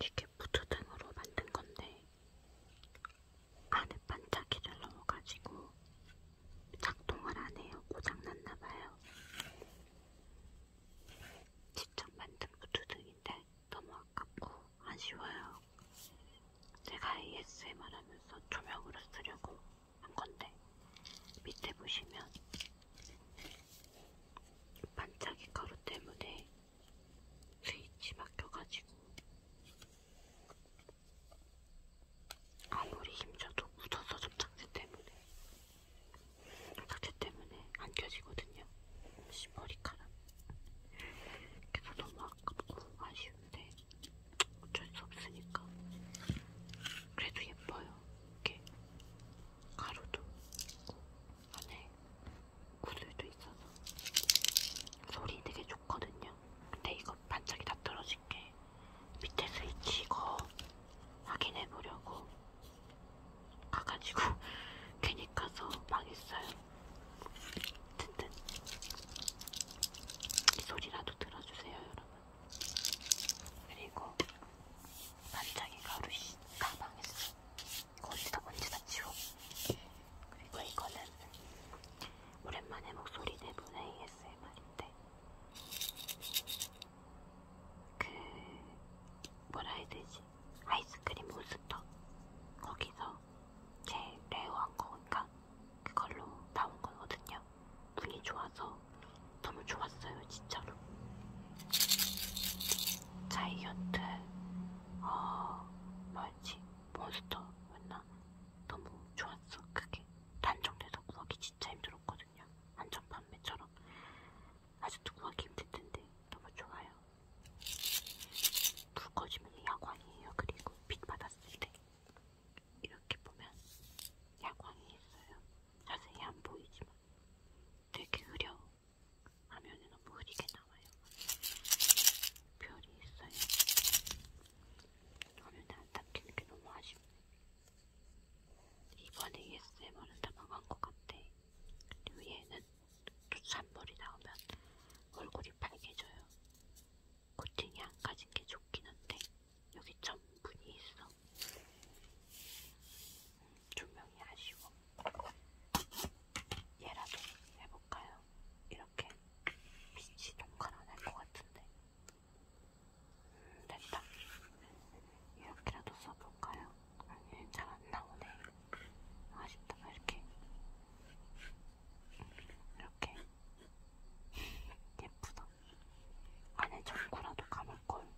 이게 부초등으로 만든 건데 안에 반짝이를 넣어가지고 작동을 안 해요. 고장났나 봐요. 직접 만든 부초등인데 너무 아깝고 아쉬워요. 제가 ASMR 하면서 조명으로 쓰려고 한 건데 밑에 보시면 반짝이 가루 때문에 스위치 막혀가지고 아무리 힘줘도 묻어서 접착제 때문에 접착제 때문에 안 껴지거든요. 머리카락. 그래서 너무 아깝고 아쉬운데 어쩔 수 없으니까. 그래도 예뻐요. 이렇게 가루도 있고 안에 구슬도 있어서 소리 되게 좋거든요. 근데 이거 반짝이 다 떨어질게 밑에 스위치 이거 확인해보려고 가가지고 괜히 가서 망했어요. 어쨌든 이 소리라도 들어주세요 여러분. 그리고 반짝이 가루 가방에 있어. 거기다 언제다 치워. 그리고 이거는 오랜만에 목소리 내보는 ASMR인데 그 뭐라 해야 되지? 아이스크림 몬스터 거기서 제 레어한 거니까 그걸로 나온 거거든요. 분이 좋아서 너무 좋았어요, 진짜로. 자이언트, 어, 뭐였지? 몬스터였나? 너무 좋았어. 그게 단종돼서 구하기 진짜 힘들었거든요. 한정 판매처럼. 아직도 구하기 힘들 텐데 너무 좋아요. 불 꺼지면 야광이에요. 그리고 빛 받았을 때 이렇게 보면 야광이 있어요. 자세히 안 보이지만 되게 흐려. 화면에 너무 흐리게 나와요. 별이 있어요. 화면에 안 닦이는 게 너무 아쉽네. 이번 ASMR은 다 망한 것 같아. 그리고 얘는 또 산물이 나오면 얼굴이 빨개져요. 코팅이 안 가진 게 좋긴 한데 여기 점분이 있어. 조명이 아쉬워. 얘라도 해볼까요? 이렇게 빛이 동그란 할 것 같은데. 음, 됐다. 이렇게라도 써볼까요? 아니, 잘 안 나오네. 아쉽다, 이렇게. 음, 이렇게. 예쁘다. 안에 전구라도 감을걸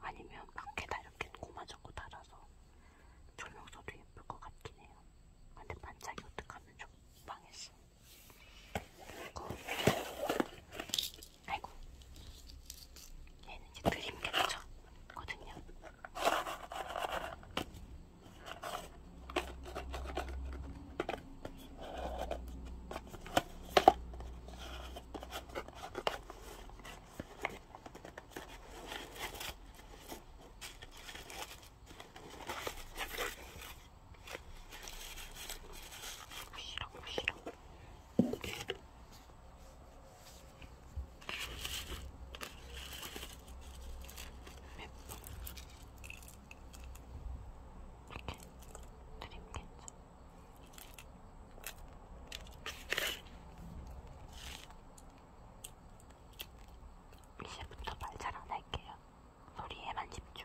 아니면 밖에다 이렇게 고마저고 달아서 조명서도 예쁠 것 같긴 해요 근데 반짝이 어떡하면 좀 망했어 이거 아이고 얘는 이제 드림 캡처 거든요 드림겠죠. 이제부터 말 잘 안할게요. 소리에만 집중.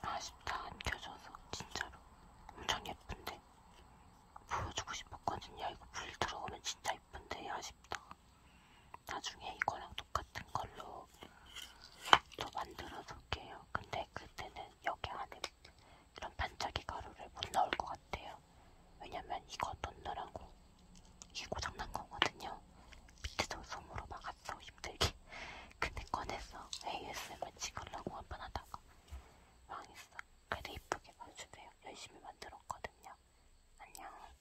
아쉽다 안 켜져서 진짜로 엄청 예쁜데 보여주고 싶었거든요 이거 불 들어오면 진짜 예쁜데 아쉽다 나중에 이거랑 똑같은 걸로 또 만들어 볼게요. 근데 그때는 여기 안에 이런 반짝이 가루를 못 넣을 것 같아요. 왜냐면 이거 넣느라고 이게 고장난 거거든요. 밑에서 솜으로 막았어 힘들게. 근데 꺼내서 ASMR 찍으려고 한 번 하다가 망했어. 그래도 이쁘게 봐주세요. 열심히 만들었거든요. 안녕.